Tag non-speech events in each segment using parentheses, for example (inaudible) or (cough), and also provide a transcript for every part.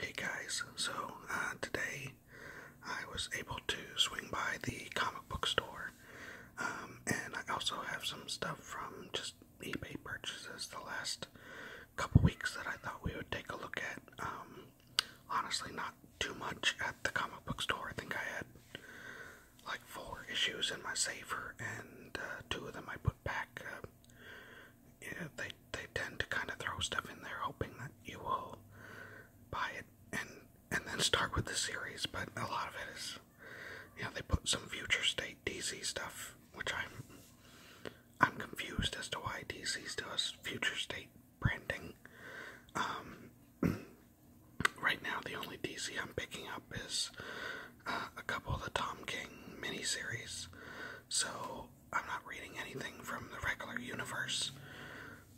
Hey guys, so uh, today I was able to swing by the comic book store, um, and I also have some stuff from just eBay purchases the last couple weeks that I thought we would take a look at. Um, honestly, not too much at the comic book store. I think I had like four issues in my saver, and uh, two of them I put back, uh, um, yeah, they they tend to kind of throw stuff in there, hoping that you will buy it and and then start with the series. But a lot of it is, you they put some future state DC stuff, which I'm I'm confused as to why DC's does future state branding. Um, (clears throat) right now, the only DC I'm picking up is uh, a couple of the Tom King miniseries. So I'm not reading anything from the regular universe,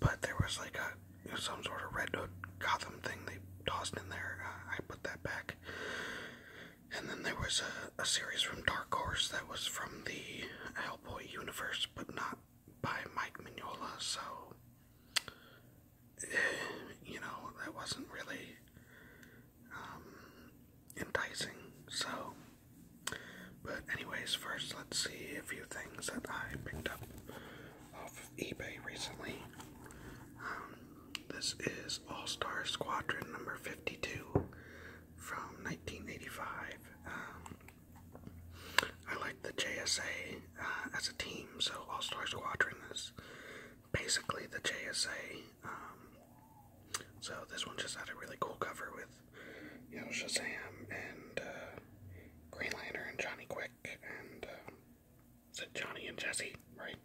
but there was like a you know, some sort of Red note Gotham thing they tossed in there. Uh, I put that back, and then there was a, a series from Dark Horse that was from the Hellboy universe, but not by Mike Mignola. So, eh, you know, that wasn't really um, enticing. So, but anyways, first let's see a few things that I picked up off of eBay recently. Um, this is All Star Squadron number 52 from 1985. Um, I like the JSA uh, as a team, so All Star Squadron is basically the JSA um, so this one just had a really cool cover with, you know, Shazam and uh, Green Lantern and Johnny Quick and uh, is Johnny and Jesse, right?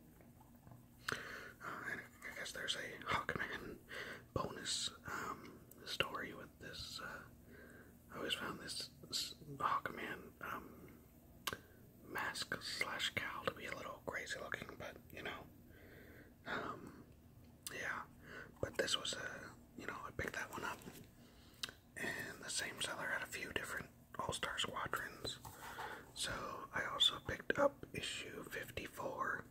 Uh, I guess there's a Hawkman (laughs) bonus um, story with this. Uh, I always found this, Hawkman um, mask slash cowl to be a little crazy looking, but you know, um, yeah, but this was a, you know, I picked that one up. And the same seller had a few different All Star Squadrons. So I also picked up issue 54,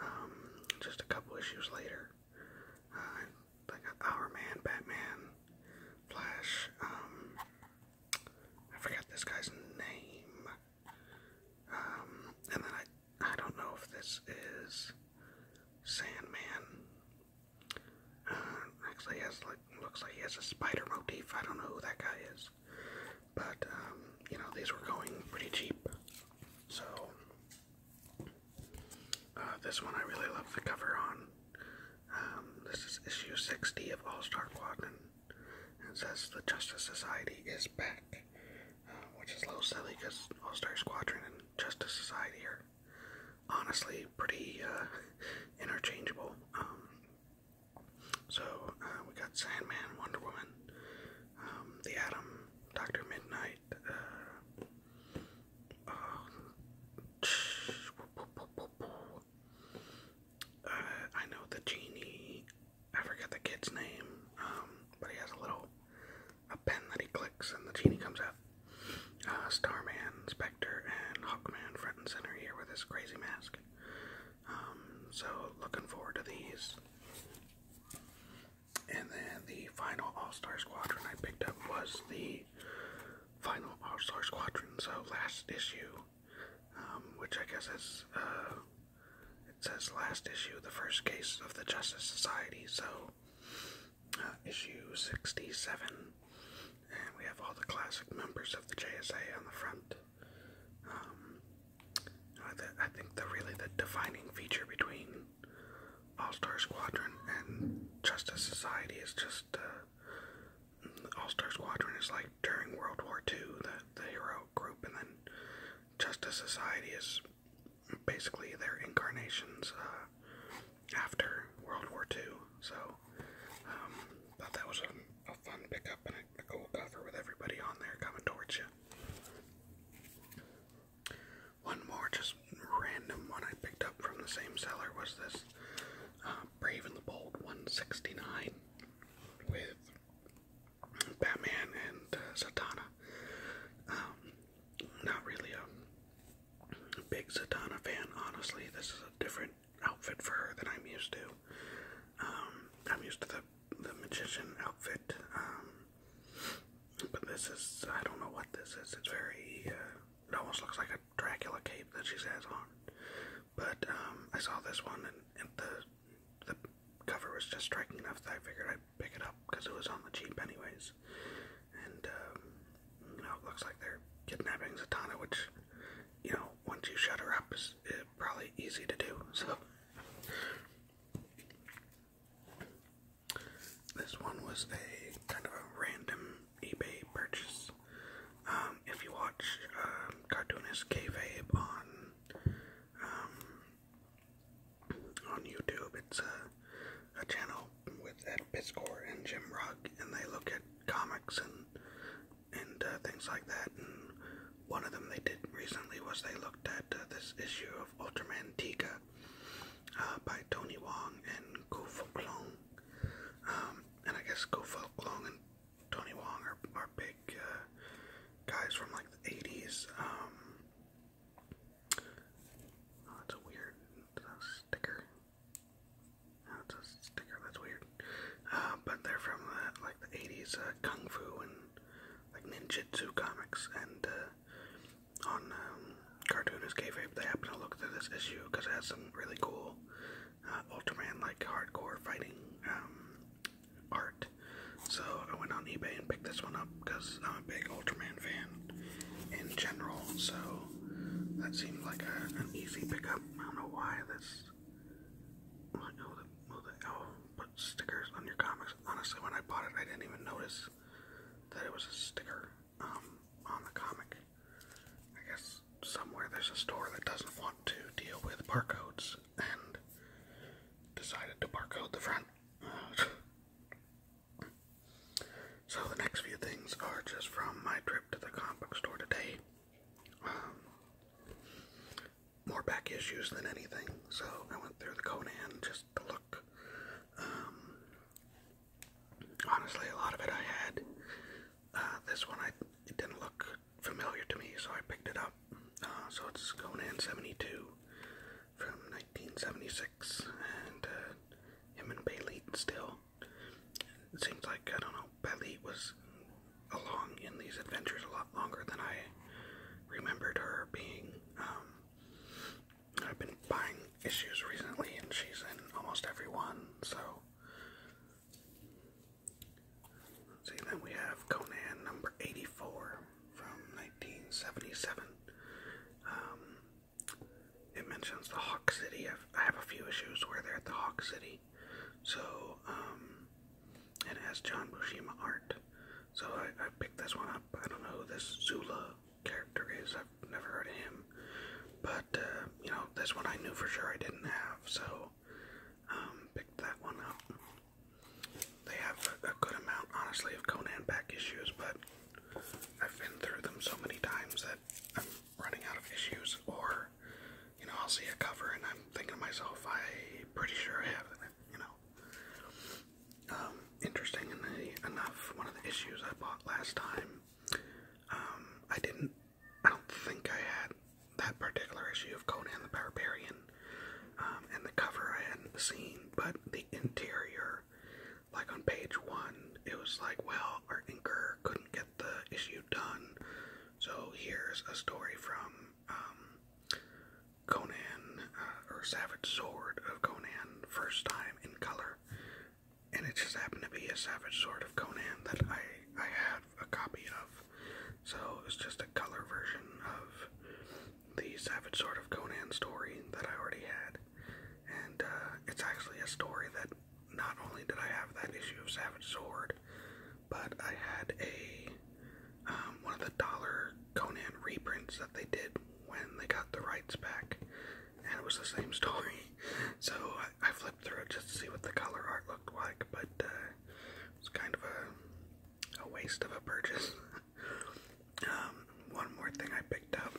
um, just a couple issues later. I got Our Man, Batman, Flash, um, I forgot this guy's name. Um, and then I I don't know if this is Sandman. Uh, actually, has like looks like he has a spider motif. I don't know who that guy is, but um, you know these were going pretty cheap, so uh, this one I really love the cover on. Um, this is issue sixty of All Star Quadrant. It says the Justice Society is back, uh, which is a little silly because All Star Squadron and Justice Society are honestly pretty uh, (laughs) interchangeable. Um, so uh, we got Sandman, Wonder Woman, um, The Atom, Doctor Midnight. Uh, (sighs) I know the Genie. I forget the kid's name, um, but he has a little a pen that he clicks and the genie comes out. Uh, Starman, Spectre, and Hawkman front and center here with his crazy mask. Um, so looking forward to these. And then the final All-Star Squadron I picked up was the final All-Star Squadron, so last issue, um, which I guess is, uh, it says last issue, the first case of the Justice Society, so uh, issue 67. And we have all the classic members of the JSA on the front. Um, I think the really the defining feature between All Star Squadron and Justice Society is just uh, All Star Squadron is like during World War II, the the hero out group, and then Justice Society is basically their incarnations uh, after World War II. So, um, thought that was a, a fun pickup and a, cool cover with everybody on there coming towards you. One more, just random one I picked up from the same seller was this uh, Brave and the Bold 169 with Batman and Satana. Uh, Zatanna. Um, not really a big Satana fan, honestly. This is a different outfit for her than I'm used to. Um, I'm used to the the magician outfit, um, but this is I don't know what this is. It's very uh, it almost looks like a Dracula cape that she has on. But um, I saw this one and, the the cover was just striking enough that I figured I'd pick it up because it was on the cheap, anyways. And um, you know, it looks like they're kidnapping Zatanna, which you know, once you shut her up, is eh, probably easy to do. (laughs) So this one was a kind of a random eBay purchase. Um, if you watch um, cartoonist Cave vabe on um, on YouTube. It's a, a channel with Ed Pitzcore and Jim Rugg, and they look at comics and and uh, things like that. And one of them they did recently was they looked at uh, this issue of Ultraman Tika uh, by Tony Wong and Go Klong. Um, and I guess Go Klong and Tony Wong are, are big uh, guys from like the 80s. Um, oh, a weird sticker. No, a sticker. That's weird. Uh, but they're from uh, like the 80s kung fu and like ninjutsu comics. And on um, Cartoonist Kayfabe, they happen to look through this issue because it has some really cool Ultraman like hardcore fighting um, art. So I went on eBay and picked this one up because I'm a big Ultraman fan in general. So that seemed like an easy pick up. I don't know why this. Oh, the, oh, oh, put stickers on your comics. Honestly, when I bought it, I didn't even notice that it was a sticker um, on the comic. I guess somewhere there's a store that doesn't want to deal with barcodes and decided to barcode the front. so the next few things are just from my trip to the comic book store today. Um, more back issues than anything. So I went through the Conan just to look. Um, honestly, a lot of it I had. Uh, this one, I didn't look familiar to me, so I picked it up. Uh, so it's Conan 72 from 1976, and uh, him and Bailey still. It seems like, I don't know, Bailey was along in these adventures a lot longer than I remembered her being. Um, I've been buying issues recently, and she's in almost every one, so See, then we have Conan number 84 from 1977. Um, it mentions the Hawk City. I've, a few issues where they're at the Hawk City. So, and um, it has John Bushima art. So I, picked this one up. I don't know who this Zula character is. I've never heard of him. But, uh, you know, this one I knew for sure I didn't have. So um, picked that one up. They have a, good amount, honestly, of Conan back issues, but I've been through them so many times that I'm running out of issues. Or, you know, I'll see a cover and I'm thinking to myself, i pretty sure I have it, you know. Um, enough, one of the issues I bought last time, um, I didn't I don't think I had that particular issue of Conan the Barbarian um, and the cover I hadn't seen, but the interior, like on page one, it was like, well, our inker couldn't get the issue done, so here's a story from um, Conan uh, or Savage Sword of Conan, first time in color, and it just happened to be a Savage Sword of Conan that I I had have a copy of. So it's just a color version of the Savage Sword of Conan story that I already had. And uh, it's actually a story that not only did I have that issue of Savage Sword, but I had a um, one of the dollar Conan reprints that they did when they got the rights back, and it was the same (laughs) story. So I, flipped through it just to see what the color art looked like, but uh, it's kind of a, a waste of a purchase. (laughs) Um, one more thing I picked up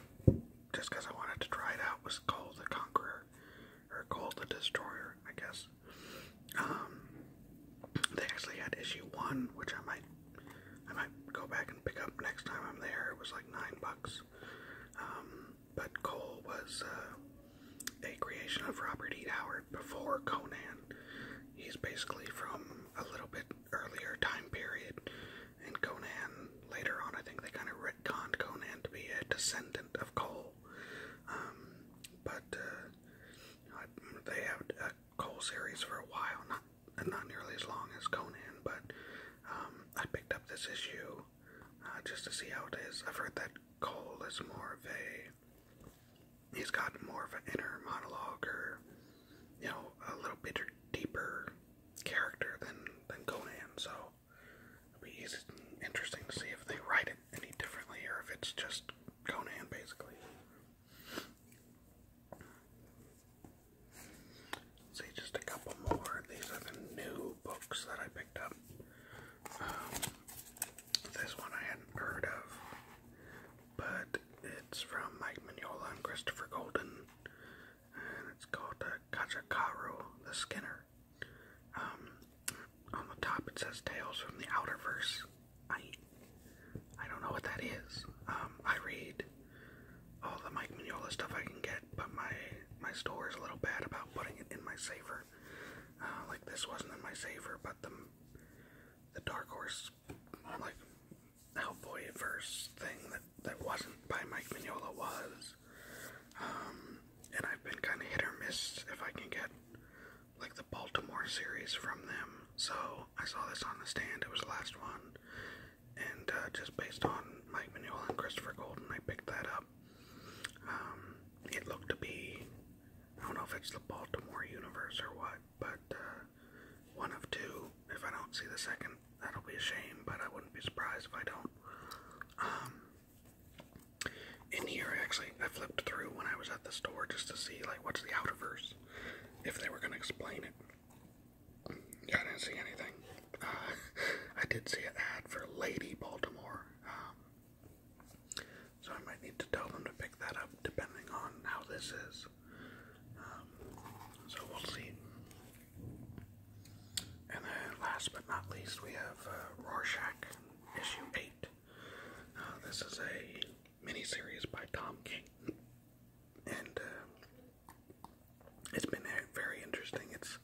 just because I wanted to try it out was Cole the Conqueror or Cole the Destroyer, I guess. Um, they actually had issue one, which I might I might go back and pick up next time I'm there. It was like nine bucks. Um, but Cole was uh, a creation of Robert E. Howard before Conan. He's basically from a little bit earlier time period, and Conan later on, I think they kind of retconned Conan to be a descendant of Cole. Um, but uh, they had a Cole series for a while, not not nearly as long as Conan, but um, I picked up this issue uh, just to see how it is. I've heard that Cole is more of a, he's got more of an inner monologue or, you know, a little bit deeper character than, than Conan, so it'll be easy, interesting to see if they write it any differently or if it's just Conan, basically. See, just a couple more. These are the new books that I picked up. Um, this one I hadn't heard of, but it's from Mike Mignola and Christopher Golden, and it's called uh, the Skinner. Um, on the top it says Tales from the Outerverse. I I don't know what that is. Um, I read all the Mike Mignola stuff I can get, but my my store is a little bad about putting it in my saver. Uh, like this wasn't in my saver, but the the Dark Horse like Hellboy verse thing that that wasn't by Mike Mignola was. Um, and I've been kind of hit or miss if I can get like the Baltimore series from them. So I saw this on the stand. It was the last one, and uh, just based on Mike Mignola and Christopher Golden, I picked that up. Um, it looked to be, I don't know if it's the Baltimore universe or what, but uh, one of two. If I don't see the second, that'll be a shame, but I wouldn't be surprised if I don't. Um, in here, actually, I flipped through when I was at the store just to see, like, what's the outerverse, if they were going to explain it. Yeah, I didn't see anything. Uh, (laughs) I did see an ad for Lady Baltimore, um, so I might need to tell them to pick that up depending on how this is. Um, so we'll see. And then last but not least, we have uh, Rorschach issue 8. Uh, this is a miniseries by Tom King. And uh, it's been very interesting. It's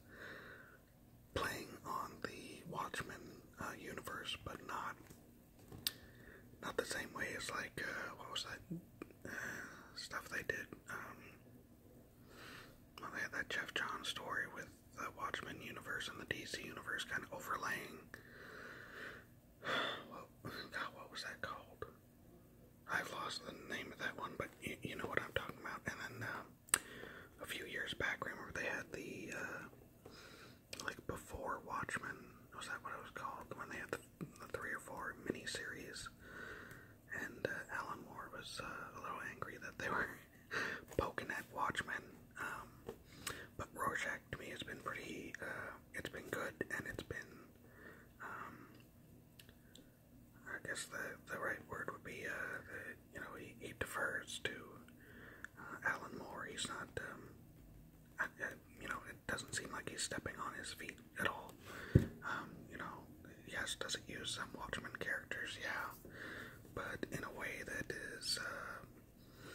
playing on the Watchmen uh, universe, but not not the same way as like uh, what was that uh, stuff they did? Um, well, they had that Jeff John story with the Watchmen universe and the DC universe kind of overlaying. (sighs) Well, God, what was that called? I've lost the name of that one, but you, know what I'm talking about. And then um, a few years back. Remember they had the uh, like before Watchmen. Was that what it was called? When they had the, the three or four miniseries, and uh, Alan Moore was uh, a little angry that they (laughs) were poking at Watchmen. Um, but Rorschach to me has been pretty. Uh, it's been good, and it's been. Um, I guess the the right word would be uh, that you know he, he defers to uh, Alan Moore. He's not um, I, I, you know it doesn't seem like he's stepping on his feet at all. Um, you know, yes, does it use some Watchmen characters? Yeah, but in a way that is uh,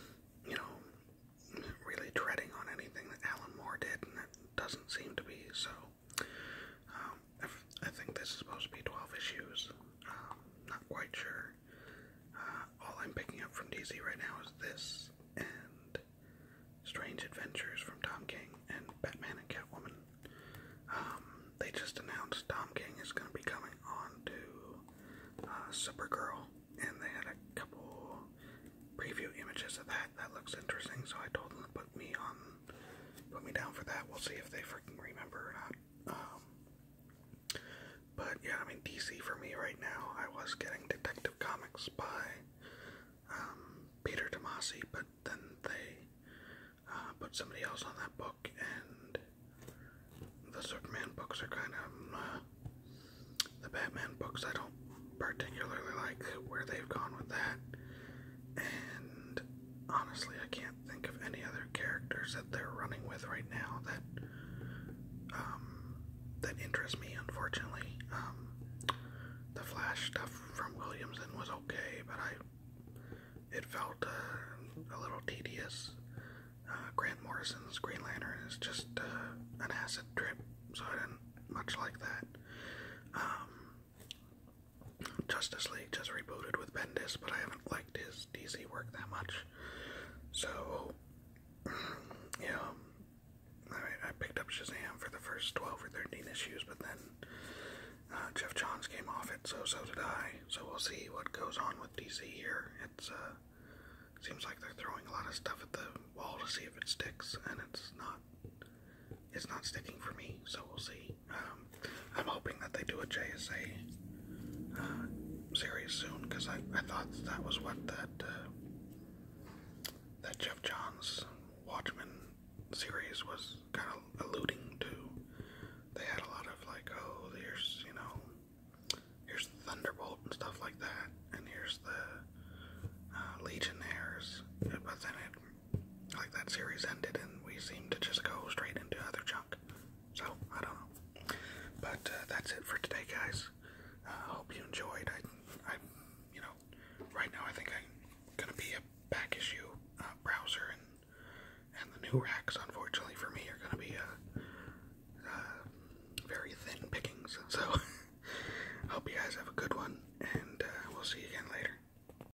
you know really treading on anything that Alan Moore did, and that doesn't seem to be so. Uh, I think this is supposed to be 12 issues. Um, not quite sure. Uh, all I'm picking up from DC right now is this and Strange Adventures from Tom King and Batman and Catwoman. Um, they just announced Tom King is going to be coming on to uh, Supergirl, and they had a couple preview images of that. That looks interesting, so I told them to put me on, put me down for that. We'll see if they freaking remember or not. Um, but yeah, I mean, DC for me right now, I was getting Detective Comics by um, Peter Tomasi, but then they uh, put somebody else on that book, and the Superman books are kind of. Uh, the Batman books I don't particularly like where they've gone with that. And honestly, I can't think of any other characters that they're running with right now that um, that interest me. Unfortunately, um, the Flash stuff from Williamson was okay, but I it felt uh, a little tedious. Uh, Grant Morrison's Green Lantern is just uh, an acid trip, so I didn't much like that. Um, Justice League just rebooted with Bendis, but I haven't liked his DC work that much. So, (clears throat) yeah, I, picked up Shazam for the first 12 or 13 issues, but then uh, Jeff Johns came off it, so so did I. So we'll see what goes on with DC here. It's uh, seems like they're throwing a lot of stuff at the wall to see if it sticks, and it's not it's not sticking for me, so we'll see. Um, I'm hoping that they do a JSA uh, series soon because I, I thought that was what that uh, that Jeff Johns Watchmen series was kind of alluding to. They had a lot of like, oh, there's you know, here's Thunderbolt and stuff like that, and here's the uh, Legionnaires, but then it like that series ended and we seem to just go straight into other junk. So I don't know, but uh, that's it for today, guys. Uh, I hope you enjoyed. I, I, you know, right now I think I'm gonna be a back issue uh, browser, and and the new racks, unfortunately for me, are gonna be uh, uh, very thin pickings. (laughs) So hope you guys have a good one, and uh, we'll see you again later.